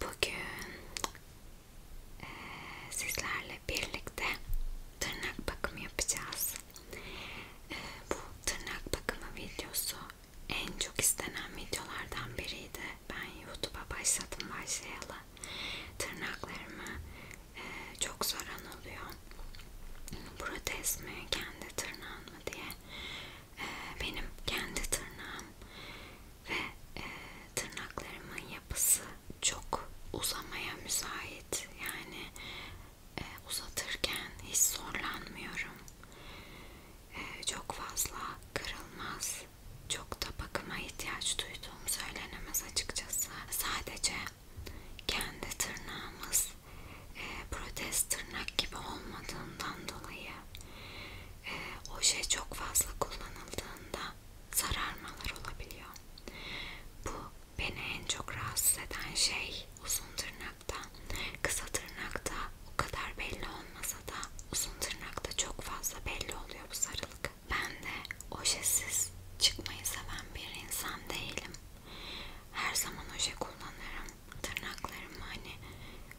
Bugün e, sizlerle birlikte tırnak bakımı yapacağız. E, bu tırnak bakımı videosu en çok istenen videolardan biriydi. Ben YouTube'a başladım başlayalı. Tırnaklarımı e, çok soran oluyor. Protez mi, kendi tırnağın mı diye. E, benim kendi tırnağım ve e, tırnaklarımın yapısı çok uzamaya müsait. Yani e, uzatırken hiç zorlanmıyorum çok fazla kırılmaz, çok da bakıma ihtiyaç duyduğum söylenemez açıkçası. Sadece kendi tırnağımız e, protez tırnak gibi olmadığından dolayı e, oje şey çok fazla kullanıldığında sararmalar olabiliyor. Bu beni en çok rahatsız eden şey uzun tırnakta, kısa tırnakta o kadar belli olmasa da uzun tırnakta çok fazla belli oluyor bu sarılık. Ben de ojesiz çıkmayı seven bir insan değilim. Her zaman oje kullanırım. Tırnaklarım hani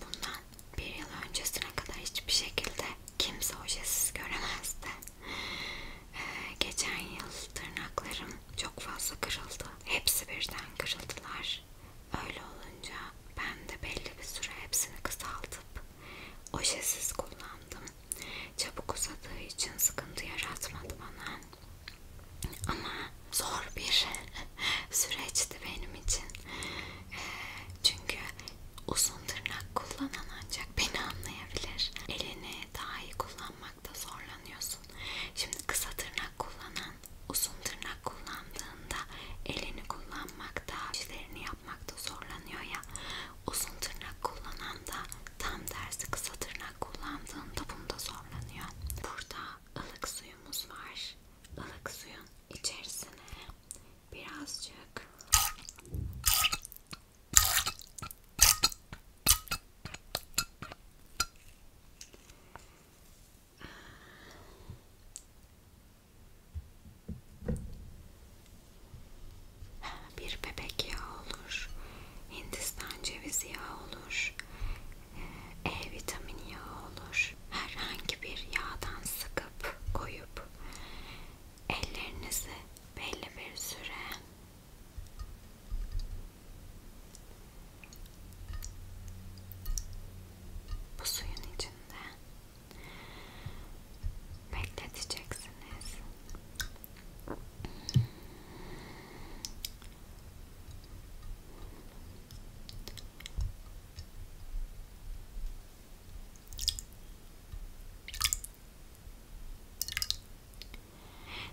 bundan bir yıl öncesine kadar hiçbir şekilde kimse ojesiz göremezdi. Ee, geçen yıl tırnaklarım çok fazla kırıldı. Hepsi birden kırıldılar. Öyle olunca ben de belli bir süre hepsini kısaltıp ojesiz kullandım. Çabuk uzadığı için sıkıntı yaratmadı bana. Ama zor bir süreçti benim için. E, çünkü uzun tırnak kullanan ancak beni anlayabilir. Elini daha iyi kullanmakta zorlanıyorsun. Şimdi kısa tırnak kullanan Uzun tırnak kullandığında elini kullanmakta, işlerini yapmakta zorlanıyor ya. Uzun tırnak kullanan da tam tersi kısa tırnak kullandığında bunda zorlanıyor. Burada ılık suyumuz var. Ilık suyun içerisine birazcık bir bebek yağı olur, Hindistan cevizi yağı olur, E vitamini yağı olur. Herhangi bir yağdan sıkıp koyup ellerinizi belli bir süre bu suyun içinde bekleteceksiniz.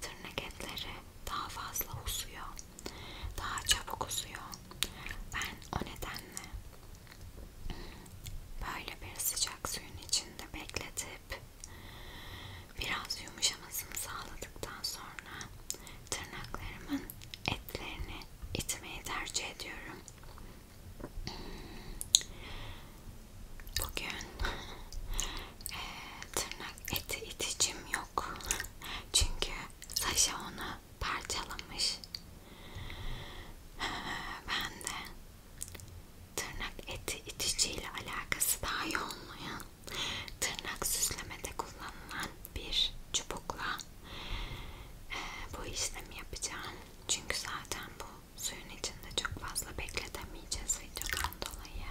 Tırnak etleri daha fazla uzuyor daha çabuk uzuyor. Ben o nedenle böyle bir sıcak suyun içinde bekletip biraz yumuşamasını sağladıktan sonra tırnaklarımın etlerini itmeyi tercih ediyorum. Bugün e, tırnak eti iticim yok çünkü Saşa onu parçalamış. Ben de tırnak eti iticiyle alakası daha iyi olmayan tırnak süslemede kullanılan bir çubukla e, bu işlemi yapacağım. Çünkü zaten bu suyun içinde çok fazla bekletemeyeceğiz videodan dolayı.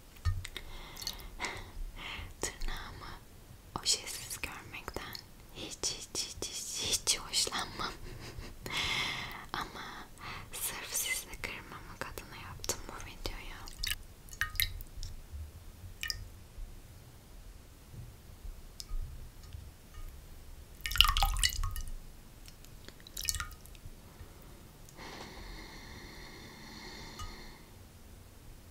Tırnağımı ojesiz görmekten hiç hiç hiç hiç, hiç hoşlanmam. Ama sırf sizi kırmamak adına yaptım bu videoyu.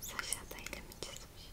Saşa da elimi çizmiş.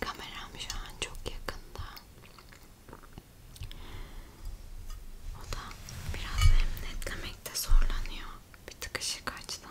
Kameram şu an çok yakında. O da biraz hem netlemekte zorlanıyor. Bir tık ışık açtım.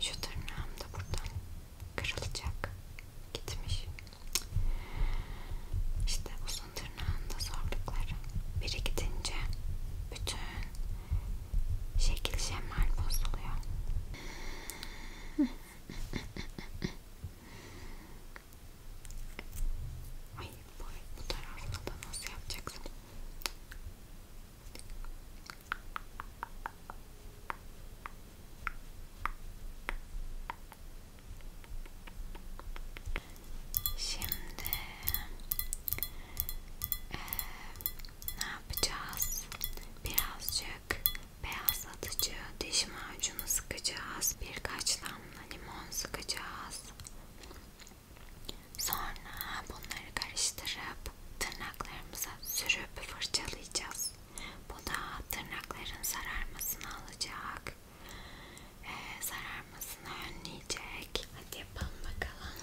Şu tırnağım da buradan kırılacak. Gitmiş. İşte uzun tırnağında zorlukları. Biri gidince bütün şekil şemal bozuluyor. Ay bu, bu tarafta da nasıl yapacaksın? Şimdi e, ne yapacağız? Birazcık beyazlatıcı diş macunu sıkacağız. Birkaç damla limon sıkacağız. Sonra bunları karıştırıp tırnaklarımıza sürüp fırçalayacağız. Bu da tırnakların sararmasını alacak. Ee, sararmasını önleyecek. Hadi yapalım bakalım.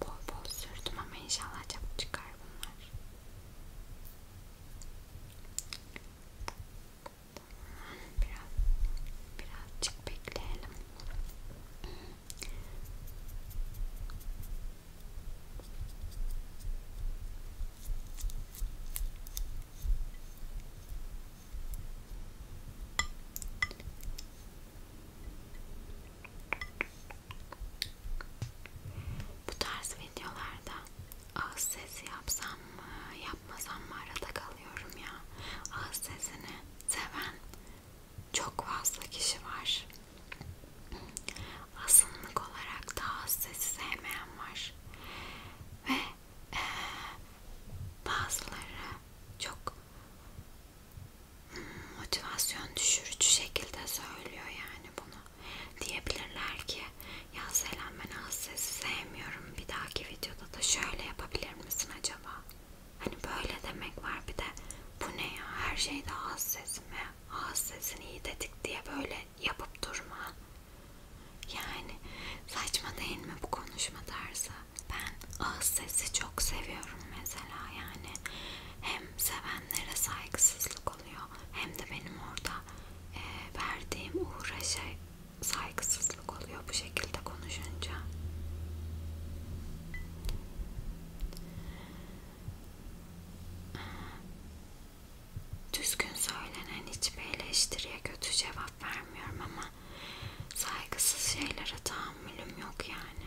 Bol bol sürdüm ama inşallah çabuk çıkar bunlar. Biraz, birazcık bekleyelim. Bu tarz videolarda ağız sesi yapsam mı yapmasam mı arada kalıyorum ya. Ağız sesini seven çok fazla kişi var. Asınlık olarak da ağız sesi sevmeyen var. Ve e, bazıları çok hmm, motivasyon düşürücü şekilde söylüyor yani bunu. Diyebilirler ki ya Selam ben Aslı'yı sevmiyorum bir dahaki videoda da şöyle yapabilir misin acaba? Hani böyle demek var bir de bu ne ya her şeyde ağız sesi mi? Ağız sesini iyi dedik diye böyle yapıp durma. Yani saçma değil mi bu konuşma tarzı? Ben ağız sesi çok seviyorum mesela yani. Hem sevenlere saygısızlık oluyor hem de benim orada e, verdiğim uğraşa şey, saygısızlık oluyor bu şekilde konuşunca. Düzgün söylenen hiçbir eleştiriye kötü cevap vermiyorum ama saygısız şeylere tahammülüm yok yani.